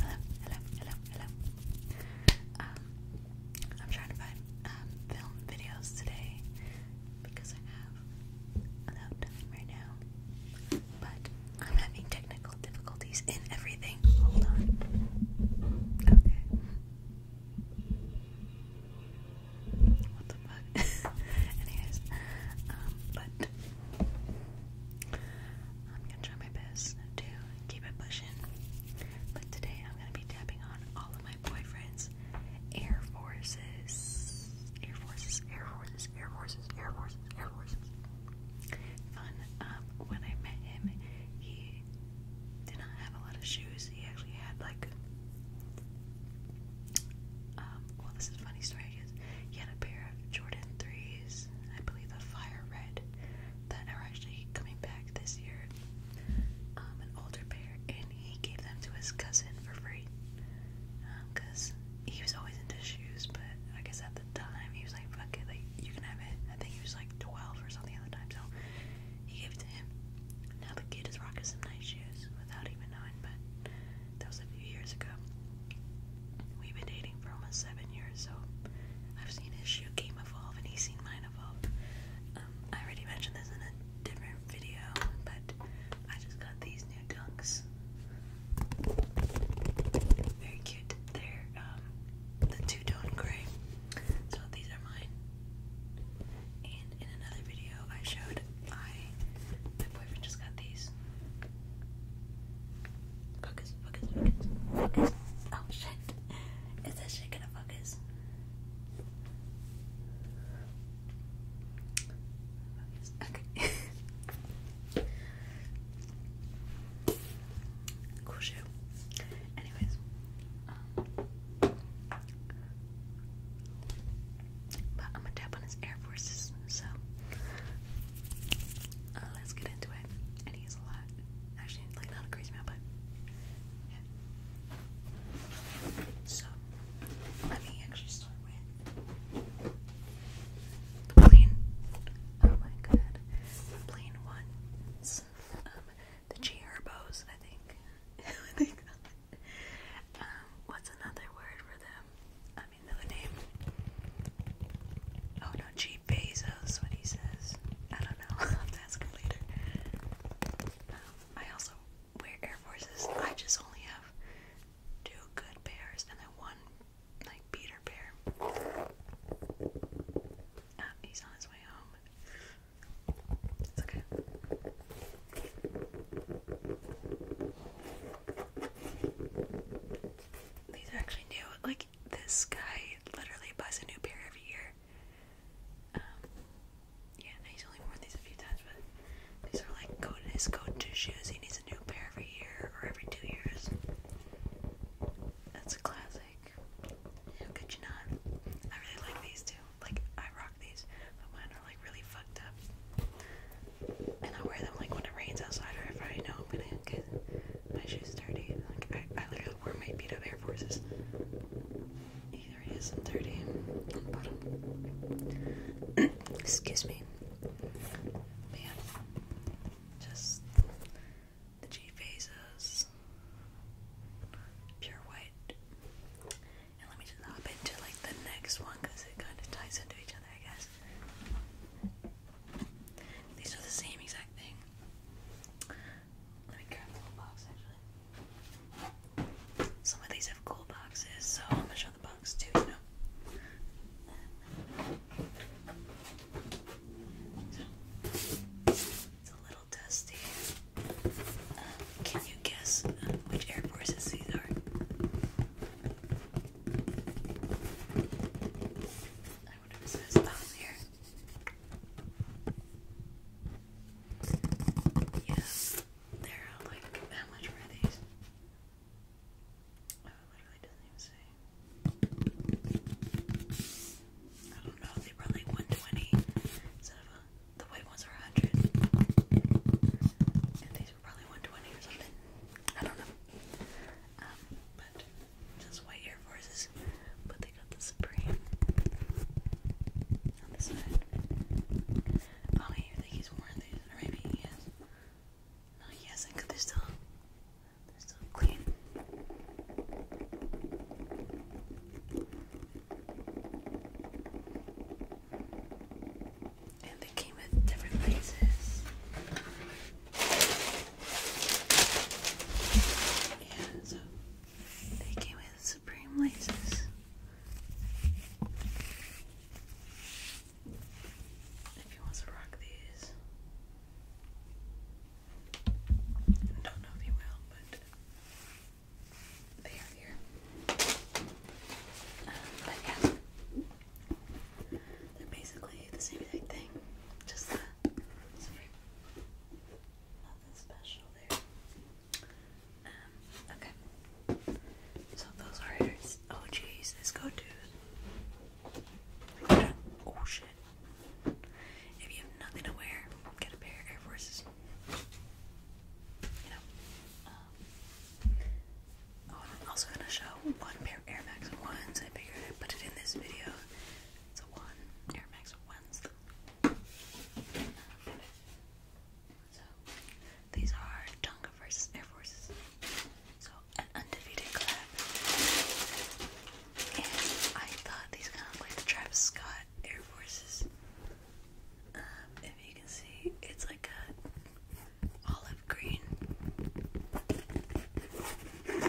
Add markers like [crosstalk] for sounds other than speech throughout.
Hello, hello, hello, hello. Um, I'm trying to find um, film videos today because I have a lot of time right now. But I'm having technical difficulties in everything. Hold on. Okay. What the fuck? [laughs] Anyways, um, but it. I'm gonna try my best to keep it pushing, but today I'm gonna be tapping on all of my boyfriend's Air Forces, Air Forces, Air Forces, Air Forces, Air Forces, Air Forces. Fun. Um, when I met him, he did not have a lot of shoes. He actually had like. Um, well, this is a funny story guess. He had a pair of Jordan 3s, I believe a fire red, that are actually coming back this year. Um, an older pair, and he gave them to his cousin for free. Because um, he was always into shoes, but I guess at the time he was like, fuck it, like, you can have it. I think he was like 12 or something at the time, so he gave it to him. Now the kid is rocking some nice shoes without even knowing, but that was a few years ago. We've been dating for almost seven years, so I've seen his shoe game evolve and he's seen mine evolve. Um, I already mentioned this in a different video, but I just got these new dunks. Very cute. They're um, the two tone gray. So these are mine. And in another video, I showed my boyfriend just got these. Focus, focus, focus, focus. Oh shit. Is that shit gonna focus? Focus. Okay. [laughs] cool shoe. Anyways. Um, but I'm gonna tap on his Air Forces, so uh, let's get into it. And he's a lot, actually, like not a crazy amount, but yeah. So let me actually start with the plain. Oh my god, the plain um, the G I think. [laughs] I think [laughs] Um, what's another word for them? I mean, another name. Oh no, G. Bezos, what he says. I don't know. have [laughs] to ask him later. Um, I also wear Air Forces. I just only have two good pairs and then one, like, beater pair. Ah, he's on his way home. It's okay. These are actually new. Like this guy literally buys a new pair every year. Um, yeah, he's only worn these a few times, but these are like go to his go-to shoes. He needs a new pair every year or every two years. That's a classic. How could you not? I really like these too. Like I rock these, but mine are like really fucked up. And I wear them like when it rains outside or if I know I'm gonna get my shoes dirty. Like I, literally wear my beat up Air Forces. Either it is and dirty [coughs] Excuse me. Man. Just the G phases. Pure white let me just hop into like the next one because it kind of ties into each other, I guess. These are the same exact thing. Let me grab the little box actually. Some of these have cool boxes, so I'm gonna show the box too, So, it's a little um, can you guess um, which Air these are? Yes, they're like, how much were these? Oh, literally doesn't even say. I don't know, they probably like 120 the white ones are 100. And these were probably 120 or something. I don't know. Um, but just white Air Forces. But they got the Supreme on the side. Oh, I don't think he's worn these. Or maybe he has. No, he hasn't they're still, they're still clean. And they came with different places. Yeah, so they came with Supreme laces. If you want to rock these, I don't know if you will, but they are here. Um, but yeah, they're basically the same exact thing. Just uh, Nothing special there. Um, okay. So those are yours. Oh jeez, this go to. Oh shit. If you have nothing to wear, get a pair of Air Forces um, oh, I'm also gonna show one pair of Air Max ones. I figured I'd put it in this video. It's a one Air Max ones. So these are Tonga versus Air Forces. So an undefeated collab. And I thought these kind of like the Travis Scott Air Force's. Um, if you can see, it's like a olive green. And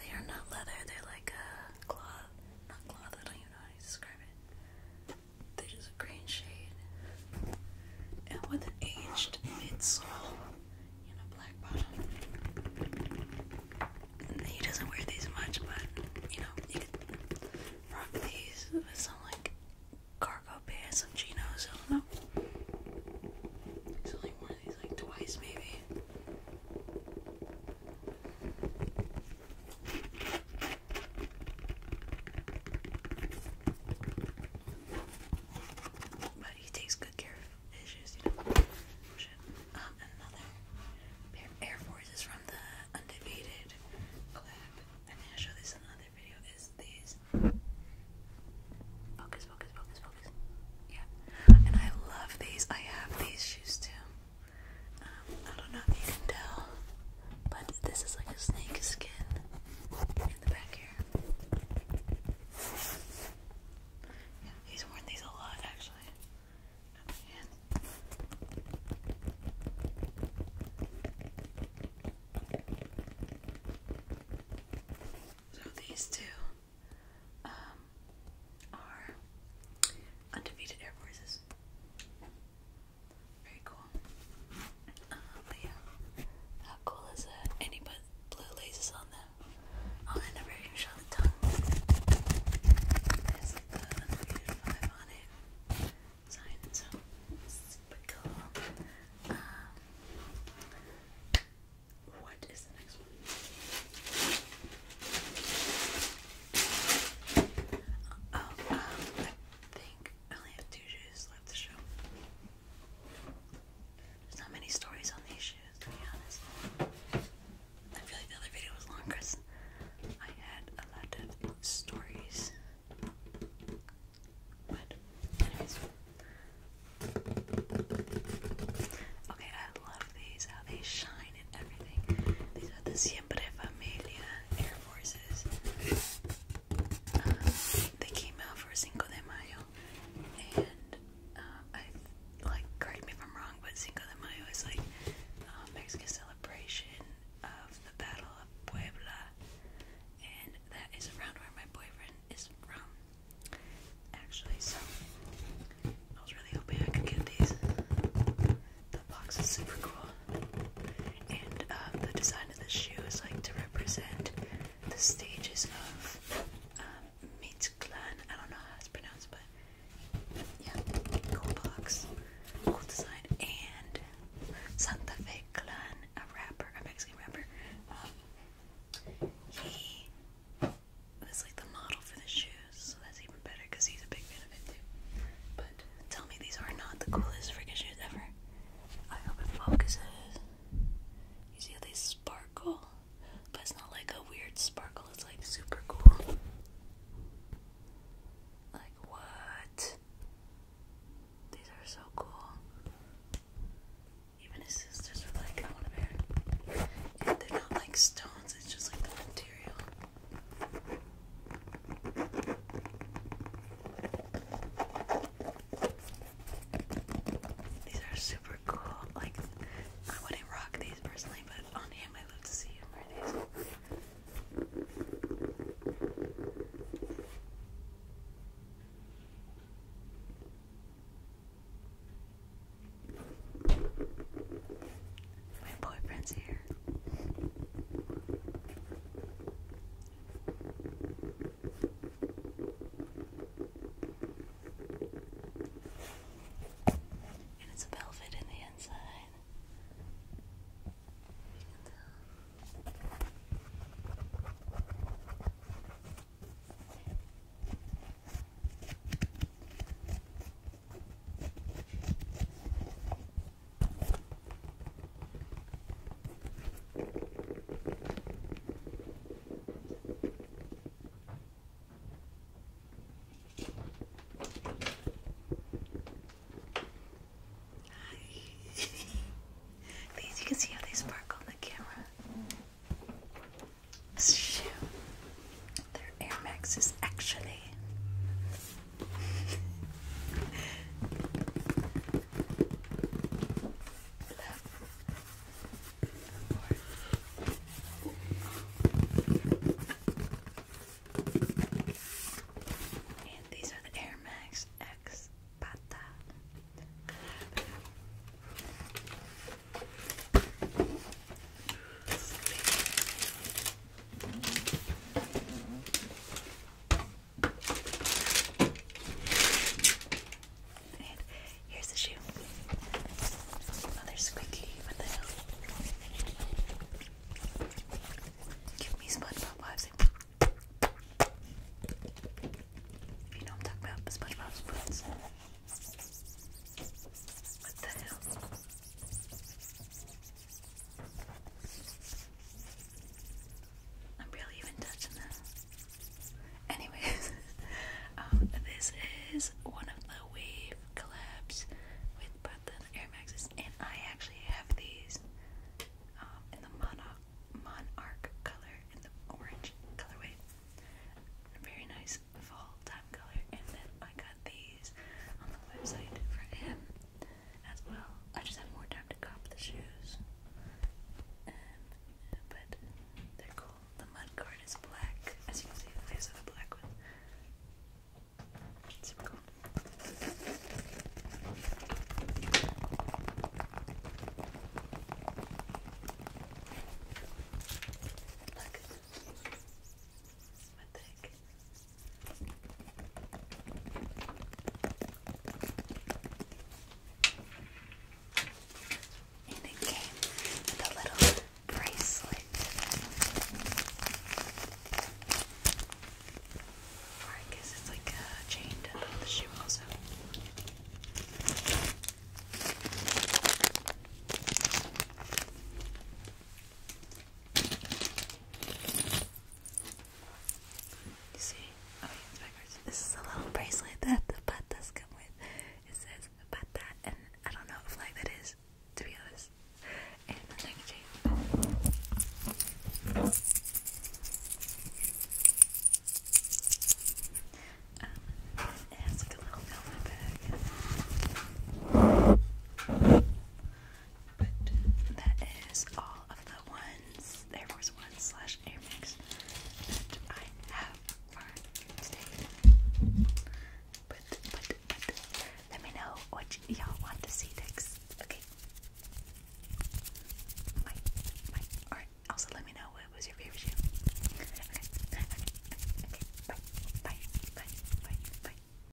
they are not leather, they're like a cloth. Not cloth, I don't even know how to describe it. they just a green shade. And with an aged midsole and a black bottom. He doesn't wear these much, but you know, you could rock these with some like cargo pants, and chinos, I don't know. So like one these like twice maybe. But he takes good care of his shoes, you know another Air Force from the Undefeated collab. I think I showed this another video. Is these focus, focus, focus, focus. Yeah, and I love these. I have these shoes too. Um, I don't know if you can tell, but this is like a snake skin in the back here he's worn these a lot actually. so these two um, are undefeated Air Forces. Very cool. Um, yeah, how cool is that? And he blue lasers on them. Oh, and the version show the tongue is the Unfusion um, what is the next one? Oh, um, I think I only have two shoes left to show. There's not many stories on these shoes, to be honest. I feel like the other video was long, Chris. I had a lot of stories. But, anyways. Okay, I love these, how they shine and everything. These are the Siempre Familia Air Forces. Uh, they came out for Cinco de Mayo, and uh, I like correct me if I'm wrong, but Cinco de Mayo is like Mexican celebration of the Battle of Puebla, and that is around where my boyfriend is from, actually. So I was really hoping I could get these. The box is super cool, and uh, the design of the shoe is like to represent the stages of Mid-Clan, um, I don't know how it's pronounced, but yeah, Copox, cool design, and Santa Fe Clan, a rapper, a Mexican rapper. Um, he was like the model for the shoes, so that's even better because he's a big fan of it too. But tell me these are not the coolest freaking shoes ever. I hope it focuses. You see how they sparkle, but it's not like a weird sparkle, it's like super cool. Like, what? These are so cool. Even his sisters were like, I want a pair. And they're not like stones, it's just like the material. These are super cool. Like, I wouldn't rock these personally, but on him, I love to see him wear these. My boyfriend's here. And it's velvet in the inside. You these [laughs] you can see how they sparkle on the camera. Shoot. Their Air Max actually [laughs] And these are the Air Max X Pata. Sleep here's the shoe. Another squeaky. What the hell? Give me SpongeBob vibes. you know I'm talking about, SpongeBob spoons. What the hell? I'm really even touching this. Anyways, [laughs] um, this is one of the Wave collabs with Brooklyn Air Maxes, and I actually have these um, in the Monarch, color, in the orange colorway. very nice fall time color, and then I got these on the website for him as well. I just have more time to cop the shoes. Um, but they're cool. The mud guard is black. As you can see, there's a black one. Super cool. Look. My thick. And it came with a little bracelet I guess it's like a chain to the shoe also you see? Oh, this is a little bracelet that the patas come with. It says pata, and I don't know what flag that is, to be honest. And um, like a little velvet bag. But that is all of the ones, Air Force One slash Air Max that I have for today. But, but, but, let me know what y'all want to see next, okay? My, my, alright, also let me know what was your favorite shoe. [laughs] okay, okay, bye, bye, bye, bye, bye.